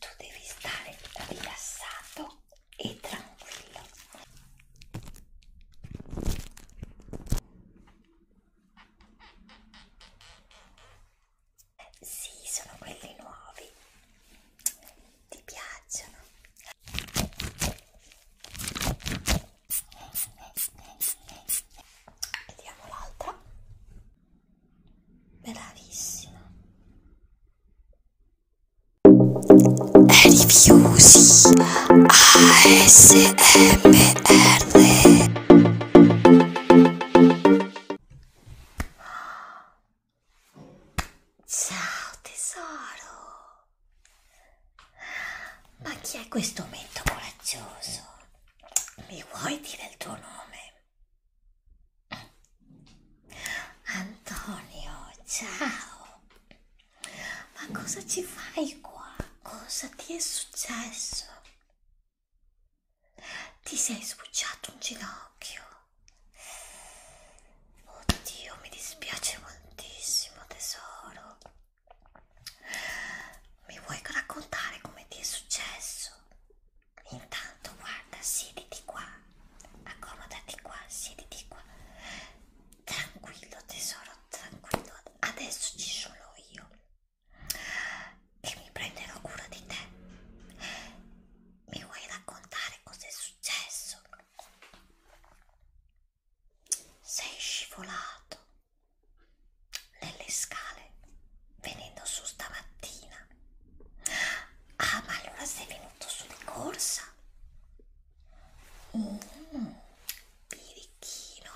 tu devi stare rilassato e tranquillo sì sono quelli nuovi ti piacciono vediamo l'altra bravissima Rifiusi ASMR Ciao tesoro Ma chi è questo mento coraggioso? Mi vuoi dire il tuo nome? Antonio, ciao! Ma cosa ci fai qua? Cosa ti è successo? Ti sei sbucciato un ginocchio? Oddio, mi dispiace moltissimo, tesoro. Mi vuoi raccontare come ti è successo? Intanto guarda, siediti qua, accomodati qua, siediti qua. Tranquillo tesoro, tranquillo. Adesso ci sono io che mi prenderò cura di te. Mi vuoi raccontare cosa è successo? Sei scivolato nelle scale venendo su stamattina. Ah, ma allora sei venuto su di corsa? Mm, birichino.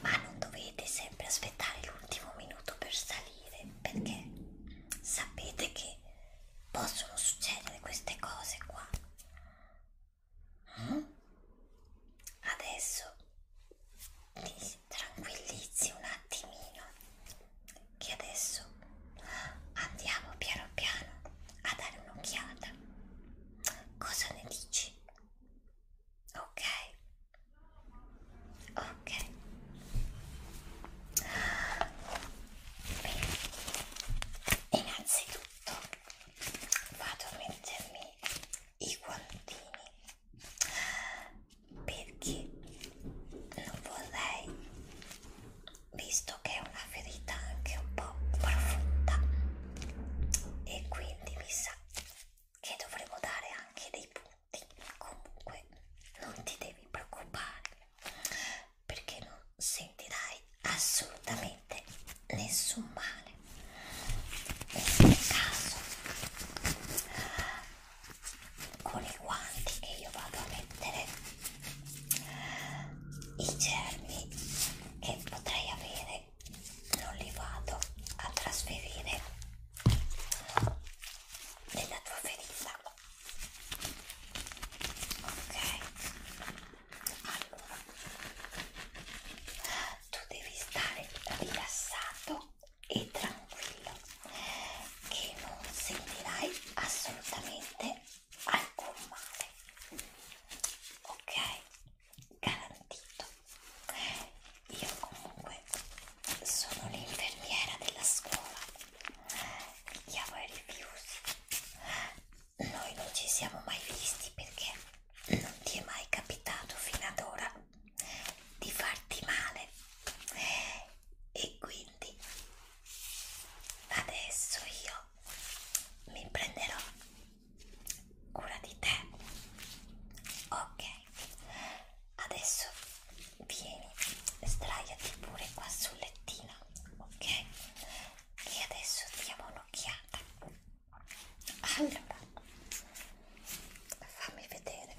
Ma non dovete sempre aspettare l'ultimo minuto per salire, perché sapete che possono succedere queste cose qua. Mm? Adesso ti tranquillizzi un attimino che adesso andiamo piano piano a dare un'occhiata cosa ne dici? ok? ok bene innanzitutto vado a mettermi i guantini perché non vorrei visto che è una ferita anche un po' profonda e quindi mi sa che dovremo dare anche dei punti comunque non ti devi preoccupare perché non sentirai assolutamente nessun male in ogni caso con i guanti che io vado a mettere i germi che potrei avere non li vado a trasferire nella tua ferita ok allora tu devi stare rilassato e tranquillo che non sentirai assolutamente alcun male ok garantito io comunque sono l'infermiera della scuola chiamo i rifiuti noi non ci siamo mai visti perché non ti è mai capitato fino ad ora di farti male e quindi adesso io mi prenderò cura di te ok adesso vieni sdraiati pure qua sul lettino ok e adesso diamo un'occhiata allora fammi vedere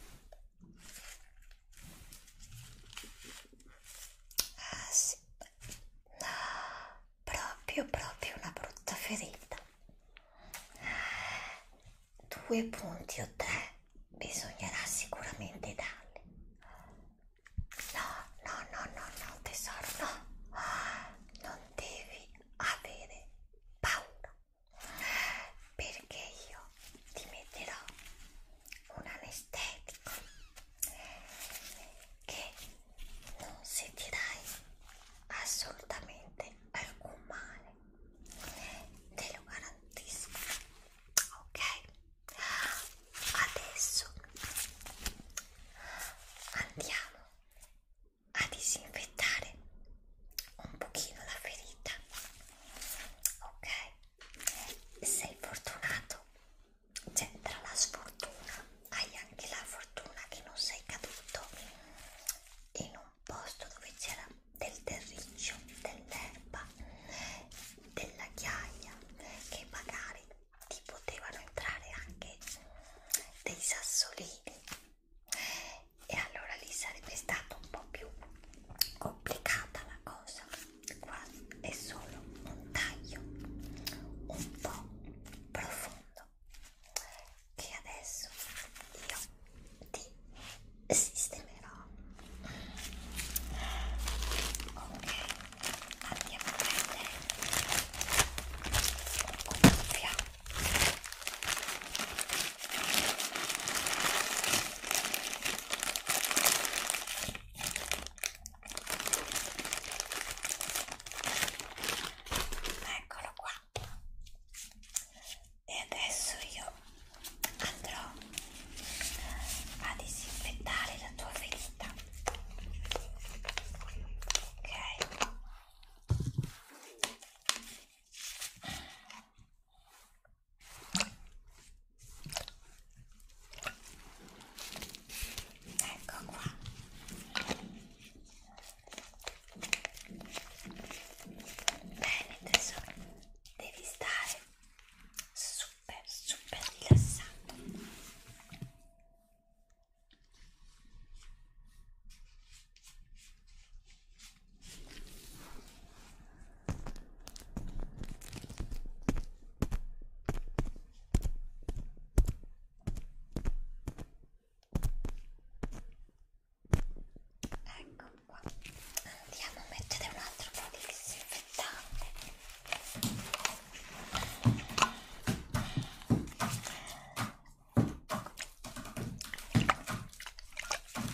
Ah sì, no, proprio proprio una brutta ferita. Due punti o tre bisognerà sicuramente darle. No, no, no, no, no, tesoro, no. Ah, non devi avere paura perché io ti metterò un anestetico che non sentirai assolutamente alcun male te lo garantisco ok adesso andiamo a disinfettare un pochino la ferita ok sei fortunato, cioè tra la sfortuna hai anche la fortuna che non sei caduto in un posto dove c'era del terriccio, dell'erba, della ghiaia che magari ti potevano entrare anche dei sassolini e allora lì sarebbe stato un po' più complicata la cosa qua è solo un taglio un po' profondo che adesso io ti sistemerò ok andiamo a prendere un cuffia eccolo qua e adesso io andrò a disinfettare la tua ferita ok Ecco qua. Bene tesoro, devi stare super super rilassato. Ecco qua, andiamo a mettere un altro po' di disinfettante.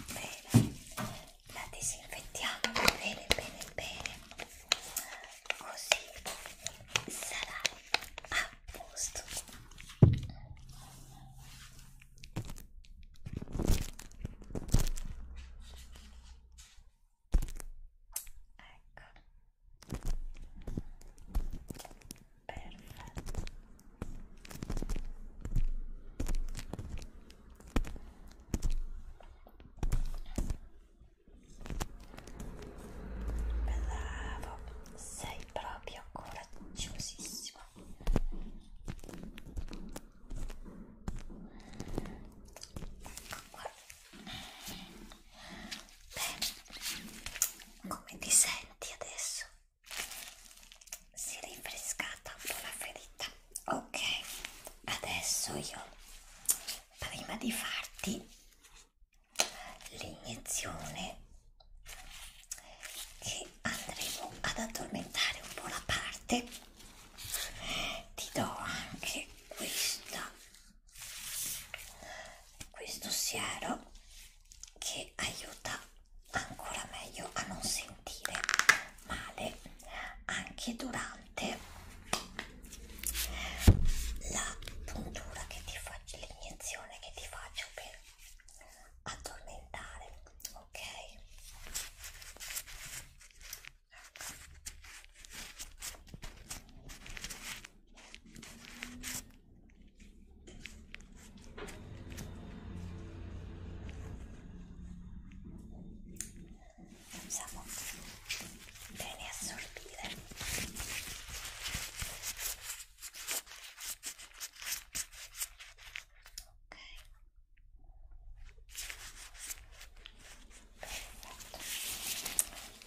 Bene, la disinfettiamo bene bene bene così sarà a posto ecco perfetto Bravo, sei proprio coraggiosissimo. Ecco qua. Bene, come ti senti adesso? Si è rinfrescata un po' la ferita ok adesso io prima di farti l'iniezione che andremo ad addormentare un po' la parte ti do anche questa questo siero che aiuta ancora meglio a non sentire sentire male anche durante la puntura che ti faccio, l'iniezione che ti faccio per addormentare, ok? Siamo bene a assorbire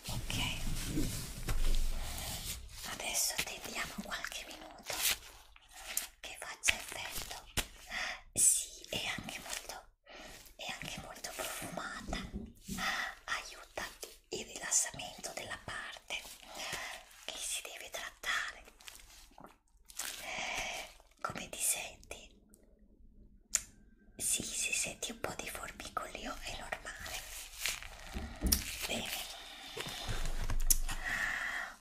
ok perfetto ok adesso attendiamo qualche minuto che faccia effetto sì è anche molto e anche molto profumata aiuta il rilassamento della parte che si deve trattare come ti senti? Sì, si senti un po' di formicolio, è normale. Bene.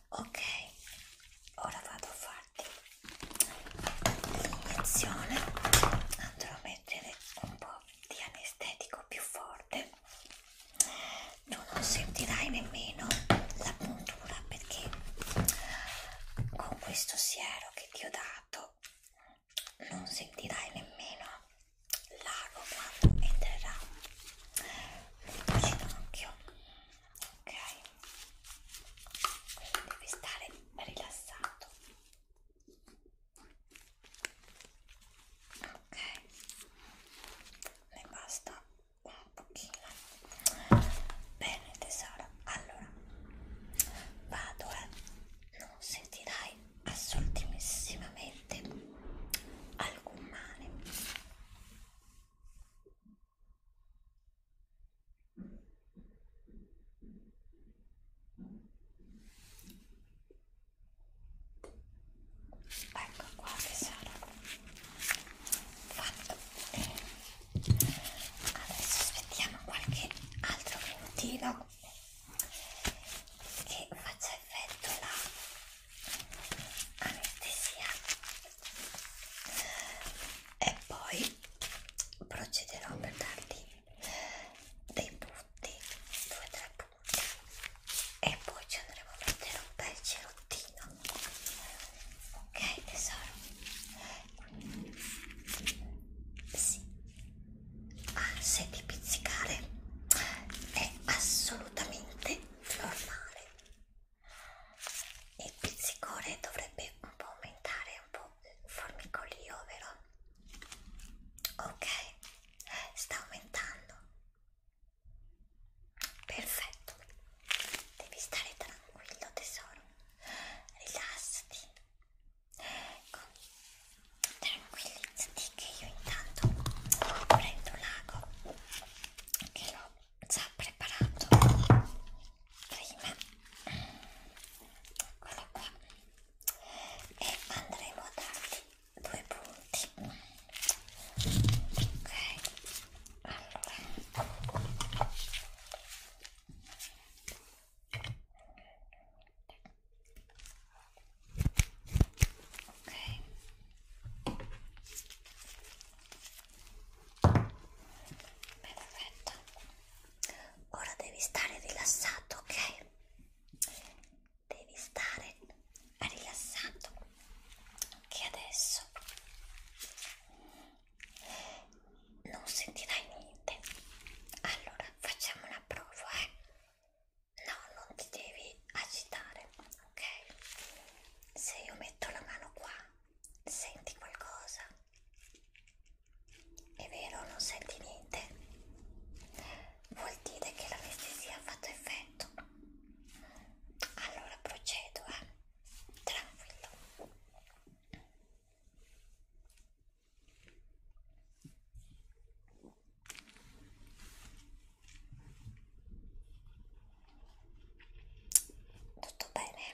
Ok, ora vado a fare guardi iniezione andrò a mettere un po' di anestetico più forte tu non sentirai nemmeno la puntura perché con questo siero che ti ho dato non sentirai nemmeno l'ago quando entrerà nel tuo ginocchio ok devi stare rilassato ok ne basta un pochino bene tesoro allora vado eh non sentirai assolutissimamente alcun male Ecco qua che sono fatto. Adesso aspettiamo qualche altro minutino che faccia effetto la anestesia e poi procederò per dargli dei punti, due o tre punti e poi ci andremo a mettere un bel cerottino ok tesoro? sì ah, senti pizzicare è assolutamente normale il pizzicore dovrebbe un po' aumentare un po' il formicolio, vero? Ok, sta aumentando. Perfetto, devi stare tranquillo tesoro, rilassati, tranquillizzati che io intanto prendo l'ago che l'ho già preparato prima eccolo qua e andremo a dargli due punti ok allora ok Perfetto. Ora devi stare rilassato, ok? Devi stare rilassato. Che adesso non sentirai niente. Allora, facciamo una prova, eh? No, non ti devi agitare, ok? Se io metto la mano qua senti qualcosa? È vero, non senti niente? Vuol dire che l'anestesia ha fatto effetto. Allora procedo, eh? Tranquillo. Tutto bene?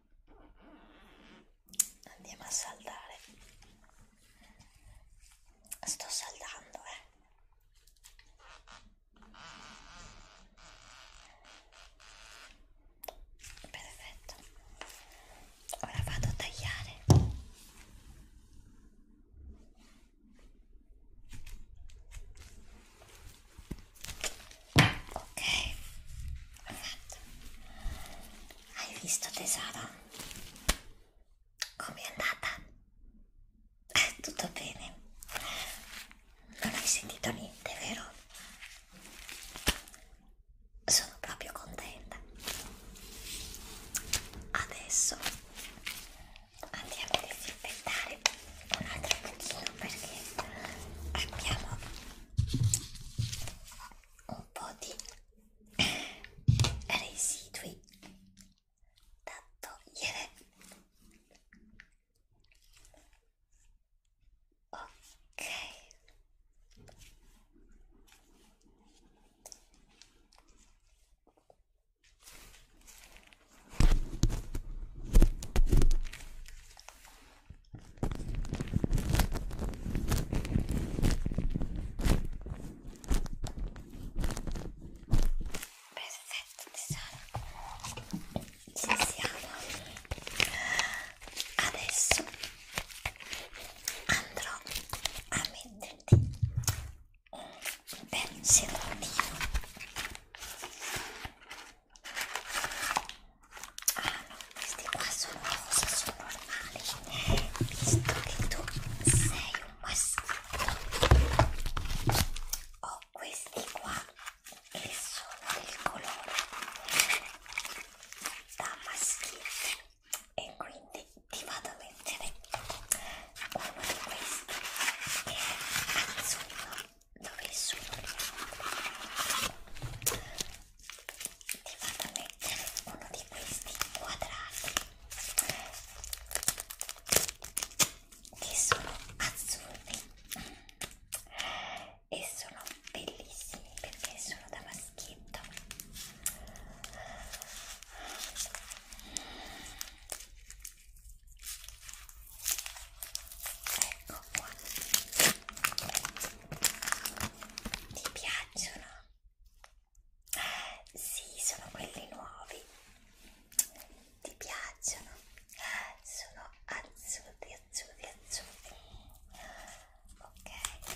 andiamo a saldare sto saldando eh perfetto ora vado a tagliare ok fatto hai visto tesoro com'è andata eh, tutto bene non hai sentito niente vero sono proprio contenta adesso andiamo a disinfettare un altro pochino perché abbiamo un po' di residui da togliere ok Perfetto tesoro, ci siamo. Adesso andrò a metterti un bel sedativo Ah no, questi qua sono rosa, sono normali. Visto che tu sei un maschio, ho questi qua che sono del colore da maschio e quindi ti vado a mettere uno di questi che è azzurro dove sono ti vado a mettere uno di questi quadrati che sono azzurri e sono bellissimi perché sono da maschietto ecco qua ti piacciono? Eh, sì, sono quelli nuovi. Ti piacciono? Eh, sono azzurri, azzurri, azzurri. Ok.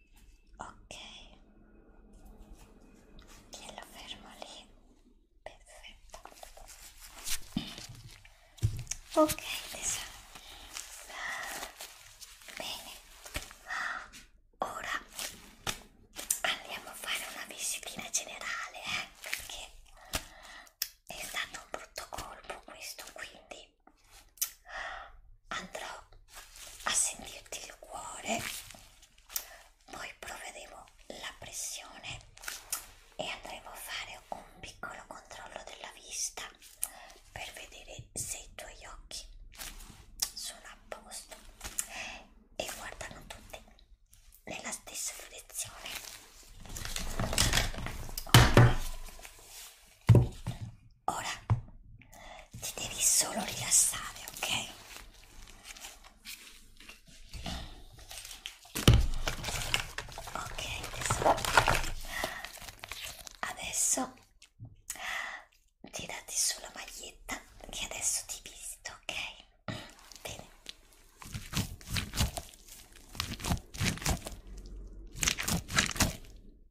ok glielo fermo lì perfetto ok tesoro bene ora andiamo a fare una visitina generale eh? perché è stato un brutto colpo questo quindi quindi andrò a sentirti il cuore poi proveremo la pressione e andremo a fare un piccolo controllo della vista per vedere se i tuoi occhi sono a posto e guardano tutti nella stessa direzione okay. Ora ti devi solo rilassare, ok? Ok, tesoro. Adesso tirati sulla maglietta che adesso ti visto, ok? Bene.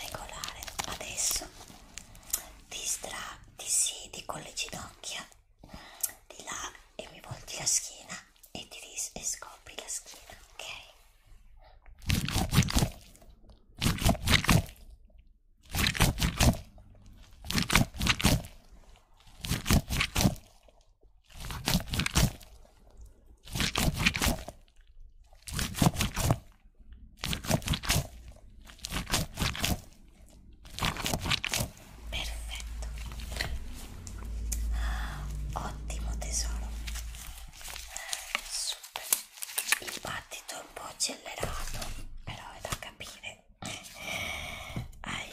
regolare adesso ti, ti siedi con le ginocchia di là e mi volti la schiena e ti dis e scopri la schiena ok ok Perfetto. Ah, ottimo tesoro. Super. Il battito è un po' accelerato, però è da capire. Hai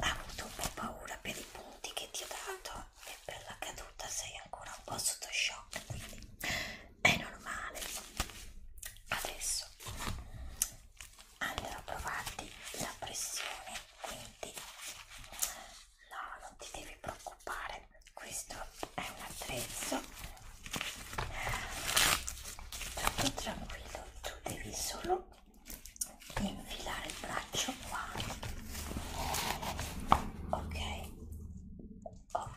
avuto un po' paura per i punti che ti ho dato e per la caduta sei ancora un po' sotto shock, quindi è normale adesso andrò a provarti la pressione quindi no non ti devi preoccupare questo è un attrezzo troppo tranquillo tu devi solo infilare il braccio qua ok ok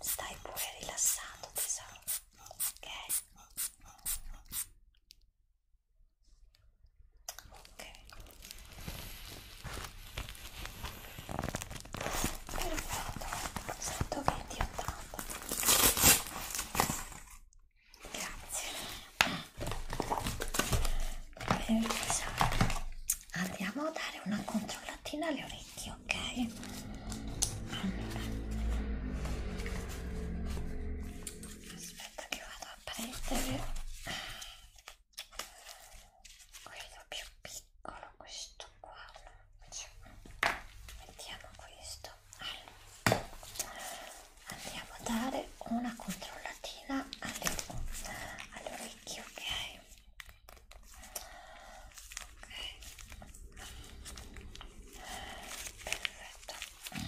Stai pure rilassato tesoro perfetto 120 80 grazie per il andiamo a dare una controllatina alle orecchie orecchi, ok? Allora. Aspetta che vado a prendere quello più piccolo, questo qua. Mettiamo questo. Allora. Andiamo a dare una controllatina all'orecchio, alle ok? perfetto ok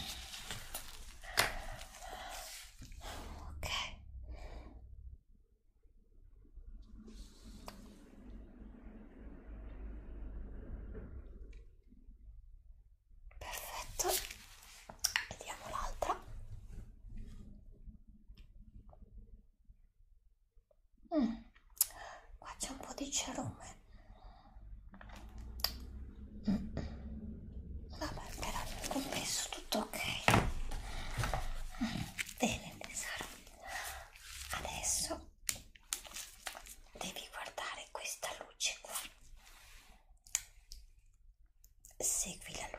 perfetto vediamo l'altra Mm, qua c'è un po' di cerume. Mm. Vabbè, però nel compenso tutto ok. Mm. Bene, tesoro. Adesso devi guardare questa luce qua. Segui la luce.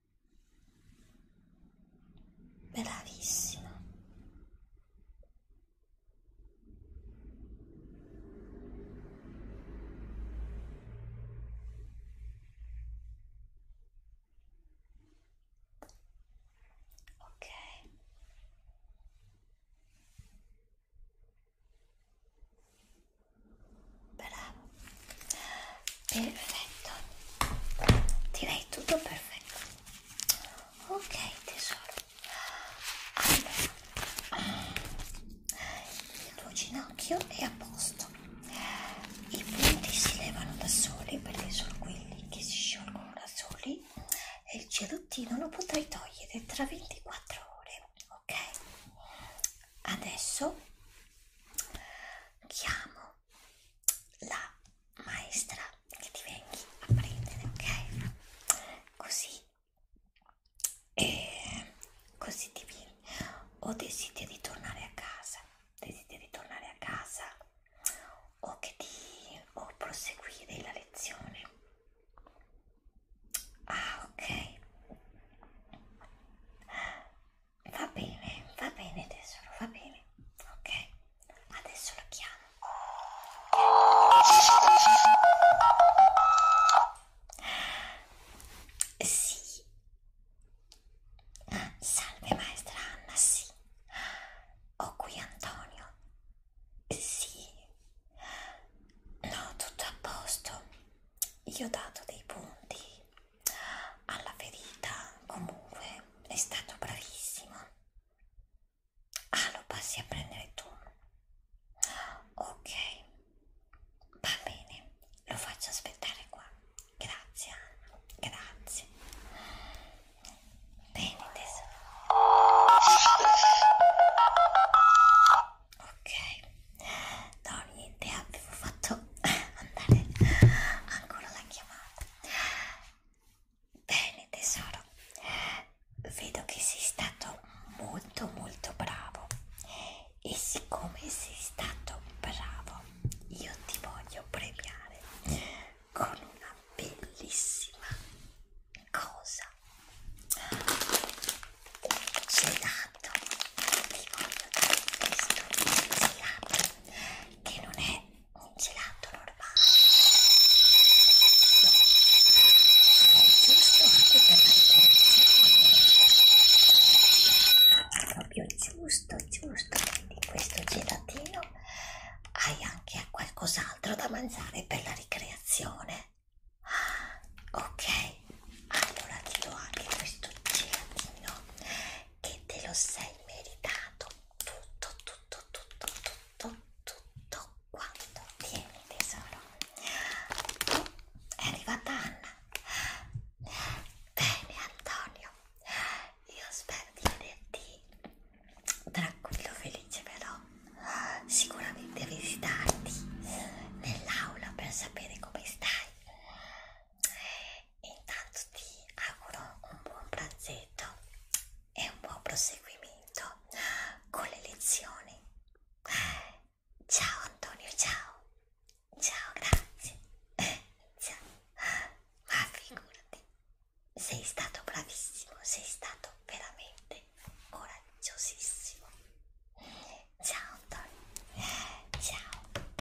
Bravissima. Ok. Bravo perfetto direi tutto perfetto ok tesoro allora il tuo ginocchio è a posto i punti si levano da soli perché sono quelli che si sciolgono da soli e il cerottino lo potrai togliere tra 24 ore ok adesso chiamo la maestra che ti venga a prendere, ok? Così, eh, così ti vieni. O desideri tornare a casa, desideri tornare a casa o che ti o proseguire la lezione. Ah, ok. Va bene, va bene tesoro, va bene. Ok, adesso lo chiamo. Sì. Salve maestra Anna, sì. Ho qui Antonio. Sì. No, tutto a posto. Io ho dato dei punti alla ferita comunque è stato bravissimo ah lo passi a prendere tu ok va bene lo faccio aspettare qua grazie Anna grazie bene tesoro ok no niente avevo fatto andare ancora la chiamata Bene tesoro, vedo che sei stato molto molto bravo e siccome sei stato bravo io ti voglio premiare con una bellissima cosa. Un gelato, ti voglio dare questo gelato che non è un gelato normale no, è giusto anche per la decorazione proprio giusto giusto quindi questo gelatino hai anche qualcos'altro da mangiare per la ricreazione ah, ok allora ti do anche questo gelatino che te lo sei meritato tutto, tutto, tutto, tutto, tutto quanto vieni tesoro. Oh, è arrivata Anna. Bene Antonio, io spero di vederti tranquillo, felice però sicuramente a visitarti nell'aula per sapere come stai Intanto ti auguro un buon pranzetto e un buon proseguimento con le lezioni. Ciao Antonio, ciao. Ciao, grazie. Ciao. Ma figurati, sei stato bravissimo, sei stato veramente coraggiosissimo. Ciao Antonio, ciao.